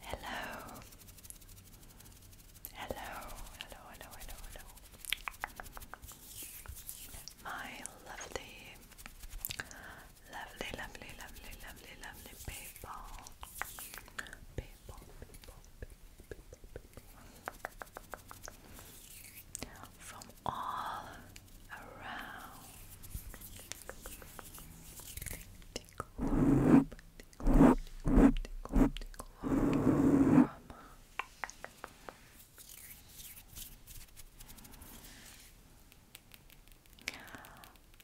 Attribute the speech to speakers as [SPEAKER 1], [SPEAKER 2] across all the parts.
[SPEAKER 1] Hello. Hello, hello, hello, hello, hello. My lovely, lovely, lovely, lovely, lovely, lovely people. People, people, people, people. From all around.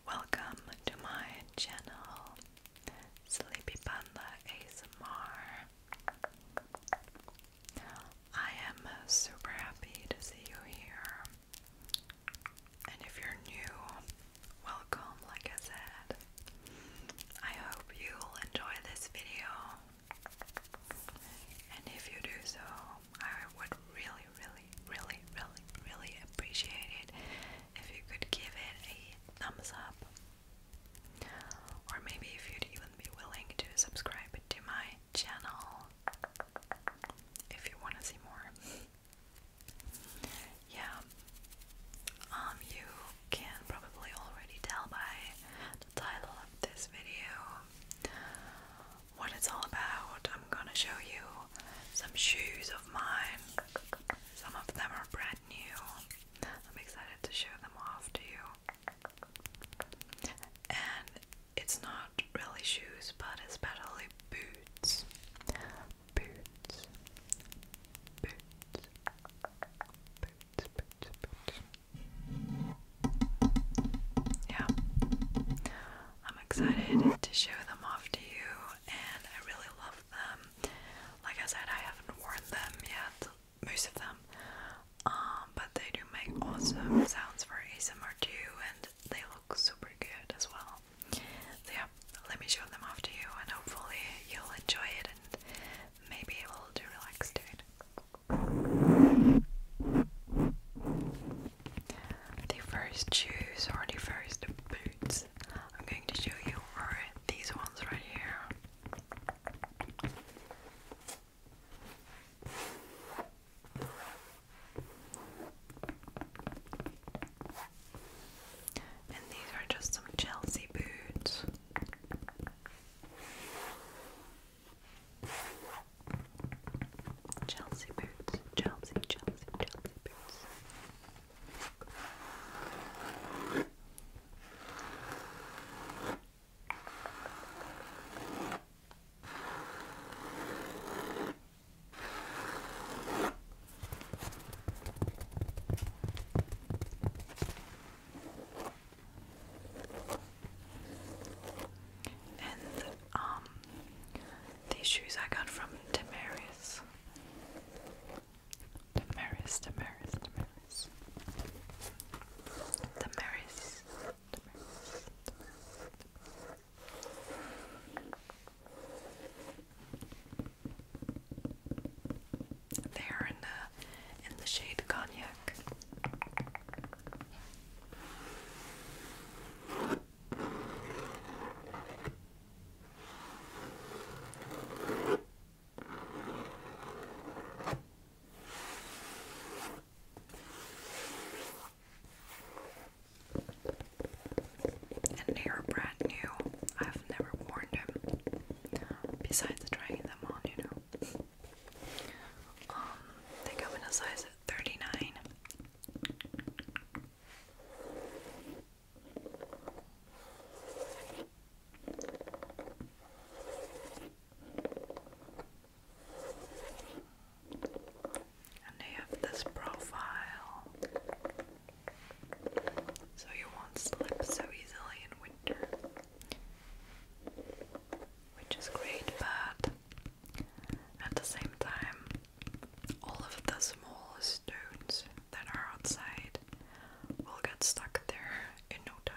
[SPEAKER 1] Welcome to my channel, Sleepy Panda ASMR. I am super happy to see you here. And if you're new, welcome, like I said. I hope you'll enjoy this video. And if you do so, I would really, really, really, really, really appreciate it if you could give it a thumbs up. Or maybe if you'd even be willing to subscribe to my channel if you want to see more. yeah, um, you can probably already tell by the title of this video what it's all about. I'm gonna show you some shoes of mine. Some of them are brand new. I'm excited to show them off to you. And it's not really shoes, but especially boots. Boots. Boots. Boots, boots, boots. Yeah. I'm excited to show them off to you, and I really love them. Like I said, I haven't worn them yet, most of them. Um, but they do make awesome sounds for ASMR too, and they look super good as well. yeah, let me show them off you, and hopefully you'll enjoy it, and maybe it will do relax The first shoes or the first boots I'm going to show you are these ones right here. And these are just some Chelsea boots. Chelsea boots, Chelsea, Chelsea, Chelsea boots. And um these shoes I got from Damaris. Damaris, Damaris, Damaris. Damaris. They in the in the shade cognac. And they are brand new. I've never worn them. Besides trying them on, you know. Um, they come in a size 39. And they have this profile, so you won't slip so easily in winter, which is great, but at the same time, all of the small stones that are outside will get stuck there in no time.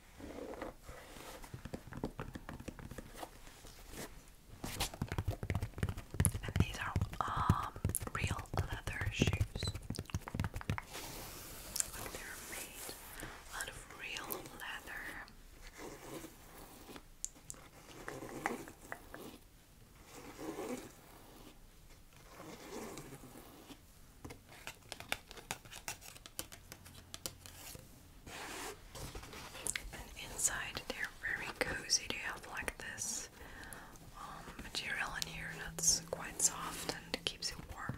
[SPEAKER 1] And these are um real leather shoes. they're made out of real leather. And inside they're very cozy. They have like this um, material in here that's quite soft and keeps it warm.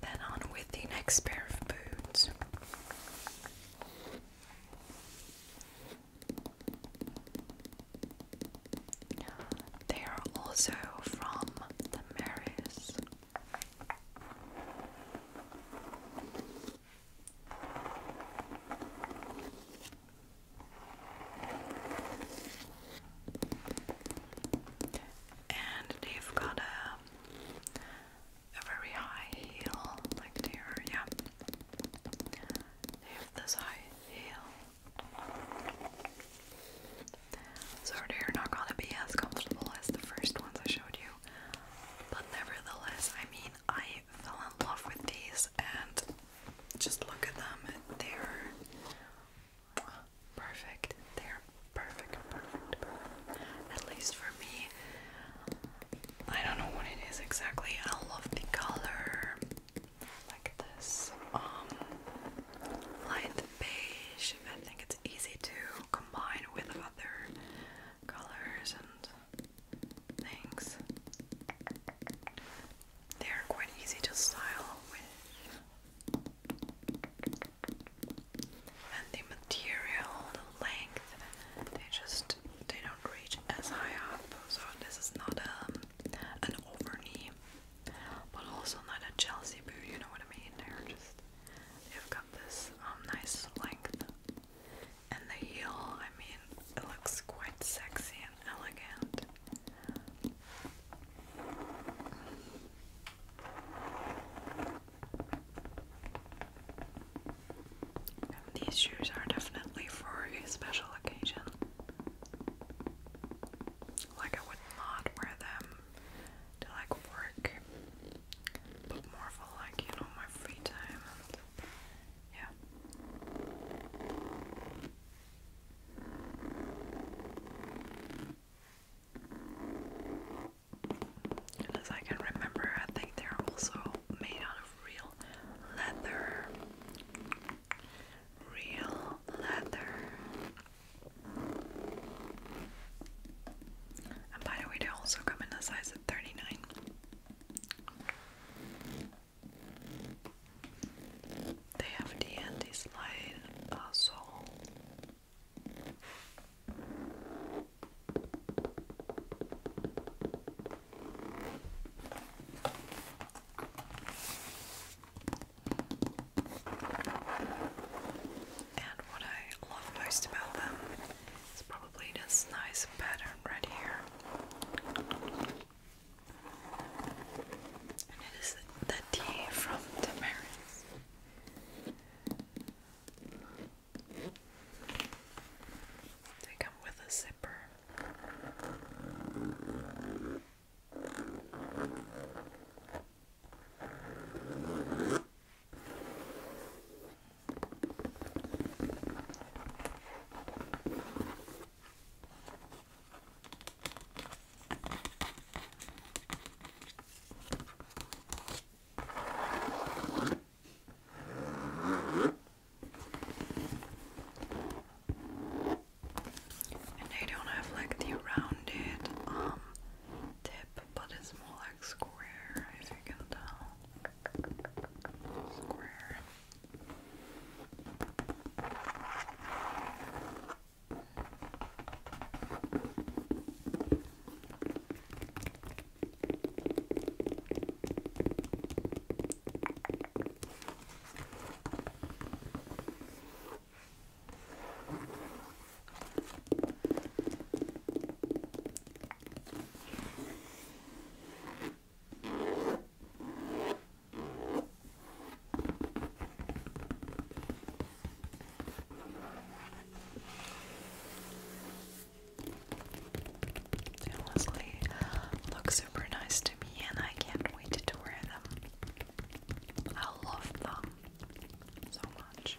[SPEAKER 1] Then on with the next pair of boots. They are also from the Maris. And they've got a very high heel, like there, yeah. They have this high heel. So they're not gonna be as comfortable as the first ones I showed you. But nevertheless, I mean I fell in love with these and just look at them. They're perfect. They're perfect, perfect, perfect. At least for me. I don't know what it is exactly. I love the color. Like this um, light beige. I think it's easy to combine with other colors and things. They are quite easy to style And the material, the length, they just they don't reach as high up, so this is not a, um, an over knee, but also not a Chelsea boot. You know what I mean? They're just they've got this um, nice length. And the heel, I mean, it looks quite sexy and elegant. these shoes are definitely for a special occasion. Like, I would not wear them to like work but more for like, you know, my free time and yeah. And as I can remember, I think they're also made out of real leather. Real leather. And by the way, they also come in a size of 39. They have the anti-slide uh, And what I love most about them is probably probably this nice pattern right here. And it is the tea from Damaris. They come with a zipper. And they don't have like the rounded um tip but it's more like square if you can tell. Square. They honestly look super nice to me, and I can't wait to wear them. I love them so much.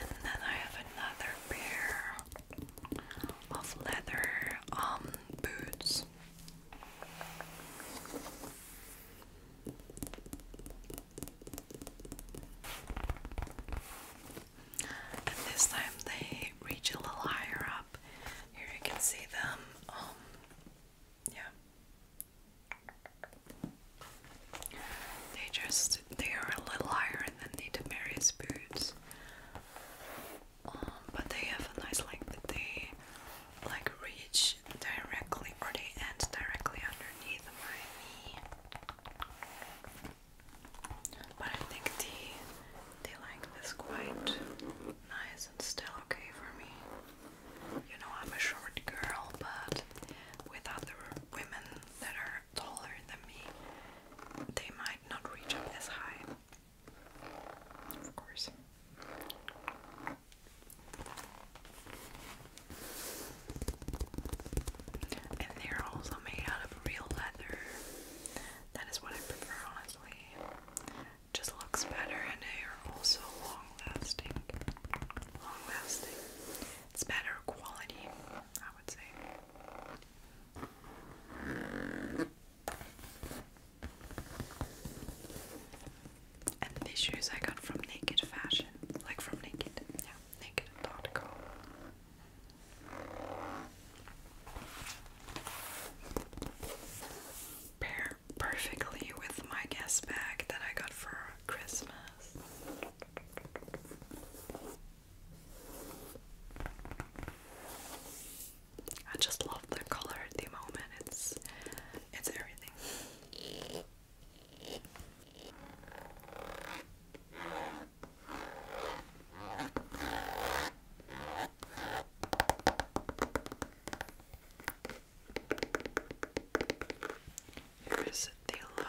[SPEAKER 1] And then I have another pair of leather um boots. And this time they reach a little higher up. Here you can see them. Um, yeah. They just they are a little higher than the Damaris boots. Um, but they have a nice length that they like reach directly or they end directly underneath my knee. But I think the they like this quite nice and still okay for me you know, I'm a short girl, but with other women that are taller than me, they might not reach up as high. Of course. And they're also made out of real leather. That is what I prefer, honestly. Just looks better, and they are also long long lasting. Long lasting. It's better quality, I would say. And these shoes I got from Naked Fashion. Like from Naked. Yeah, naked.com. Pair perfectly with my guest bag that I got for Christmas. I just love the color at the moment. It's it's everything. Here is the logo.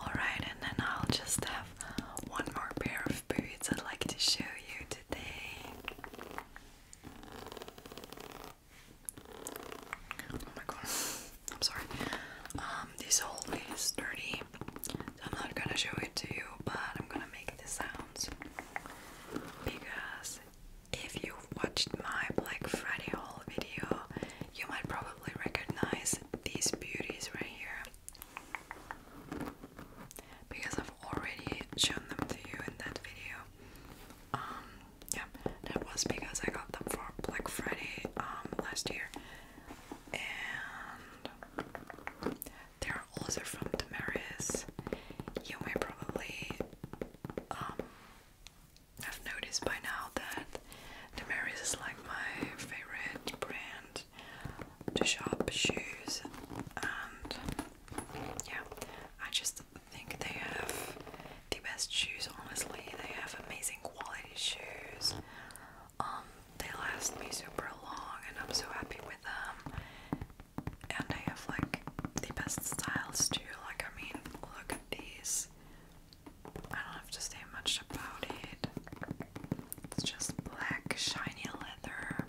[SPEAKER 1] Alright, and then I'll just have one more pair of boots I'd like to show you today. Oh my god, I'm sorry. Um, these hole is dirty, I'm not gonna show it to you, but I'm gonna make the sounds because if you've watched my Black Friday haul video, you might probably recognize these beauties right here because I've already shown them to you in that video. Um, that was because I got them for Black Friday um, last year, and they are also from Damaris. You may probably um, have noticed by now that Damaris is like my favorite brand to shop shoes, and yeah, I just think they have the best shoes. Honestly, they have amazing quality shoes. Um, they last me super long and I'm so happy with them. And I have like the best styles too. Like, I mean, look at these. I don't have to say much about it. It's just black, shiny leather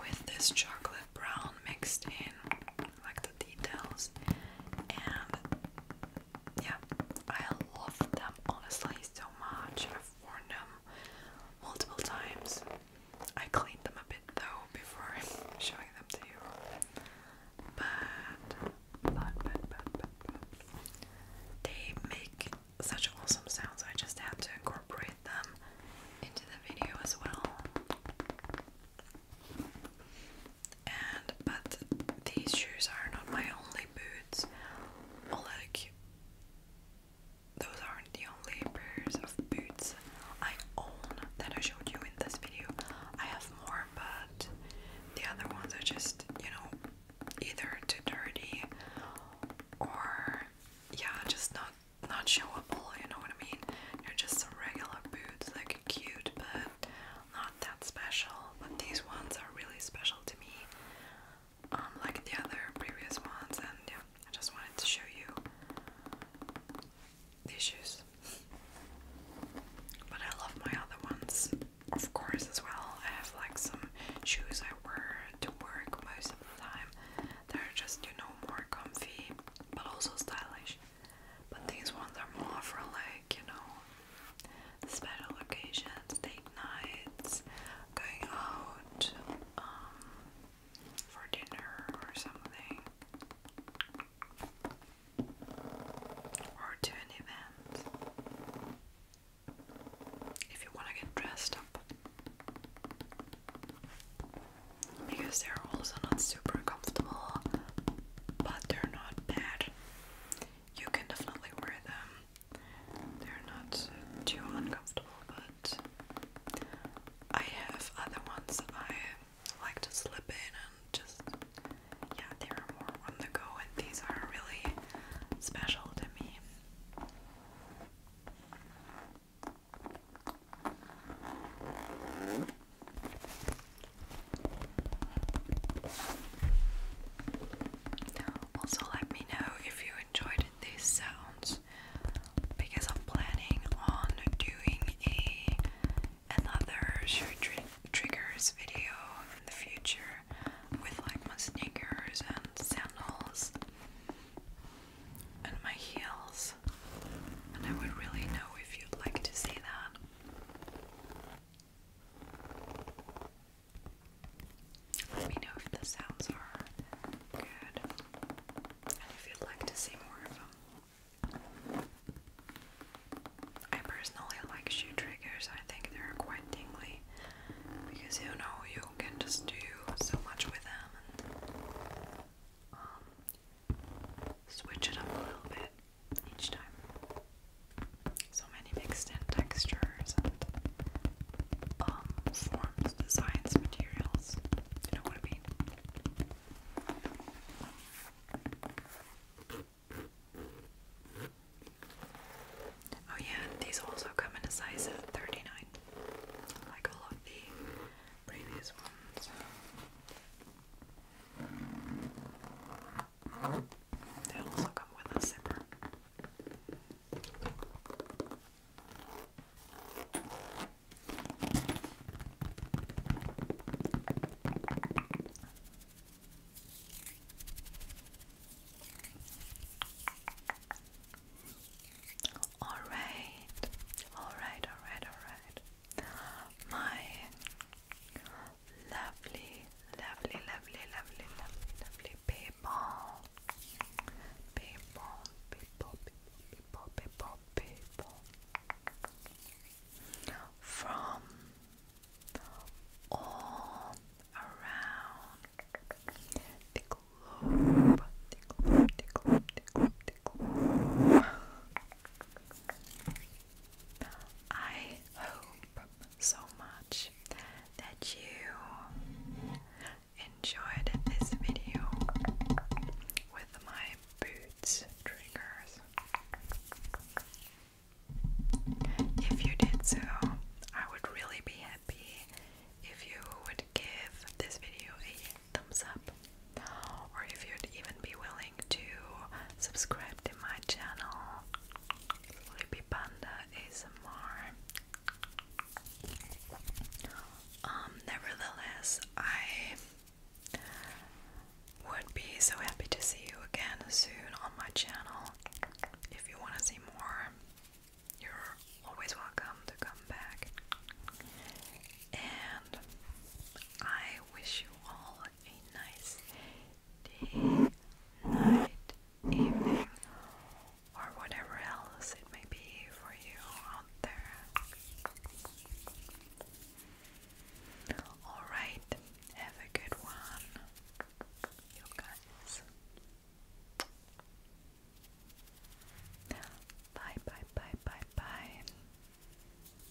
[SPEAKER 1] with this chocolate brown mixed in, like the details. And yeah, I love them honestly so much. I've worn them multiple times. I cleaned them a bit though before showing them to you. But, but, but, but, but, they make such awesome sounds. I just had to incorporate them into the video as well. And but these shoes are not my only boots like those aren't the only pairs of boots I own that I showed you in this video. I have more, but the other ones are just, you know, either too dirty or yeah, just not not showable, you know what I mean? They're just regular boots, like cute, but not that special, but these ones are really special to me, um, like the other previous ones. And yeah, I just wanted to show you these shoes. But I love my other ones, of course, as well. I have like some shoes I wear to work most of the time. They're just, you know, more comfy, but also stylish. But these ones are more for like, you know, special occasions, date nights, going out um, for dinner or something, or to an event. If you want to get dressed up, because they're also not super comfortable, but they're not bad you can definitely wear them. They're not too uncomfortable, but I have other ones I like to slip in and just yeah, they're more on the go and these are really special to me. Also, let me know if you enjoyed these sounds because I'm planning on doing a another shoe triggers video in the future with like my sneakers and sandals and my heels, and I would really know if you'd like to see that. Let me know if the sounds are good and if you'd like to see more of them. I personally like shoe triggers, I think they're quite dingly because you know you can just do so much with them um, switch it up a little bit each time. So many mixed textures forms, designs, materials. You know what I mean? Oh yeah, these also come in a size of 39, like all of the previous ones. They also come with a zipper. All right, all right, all right, all right. My lovely, lovely, lovely, lovely, lovely, lovely people. People, people, people, people, people. From all around the globe. I hope so much that you enjoyed this video with my boots triggers. If you did so, I would really be happy if you would give this video a thumbs up, or if you'd even be willing to subscribe to my channel, Sleepy Panda ASMR. Um, nevertheless, I would be so happy to see you again soon on my channel. If you want to see more, you're always welcome to come back. And I wish you all a nice day, night, evening, or whatever else it may be for you out there. Alright, have a good one, you guys. Bye, bye, bye, bye, bye.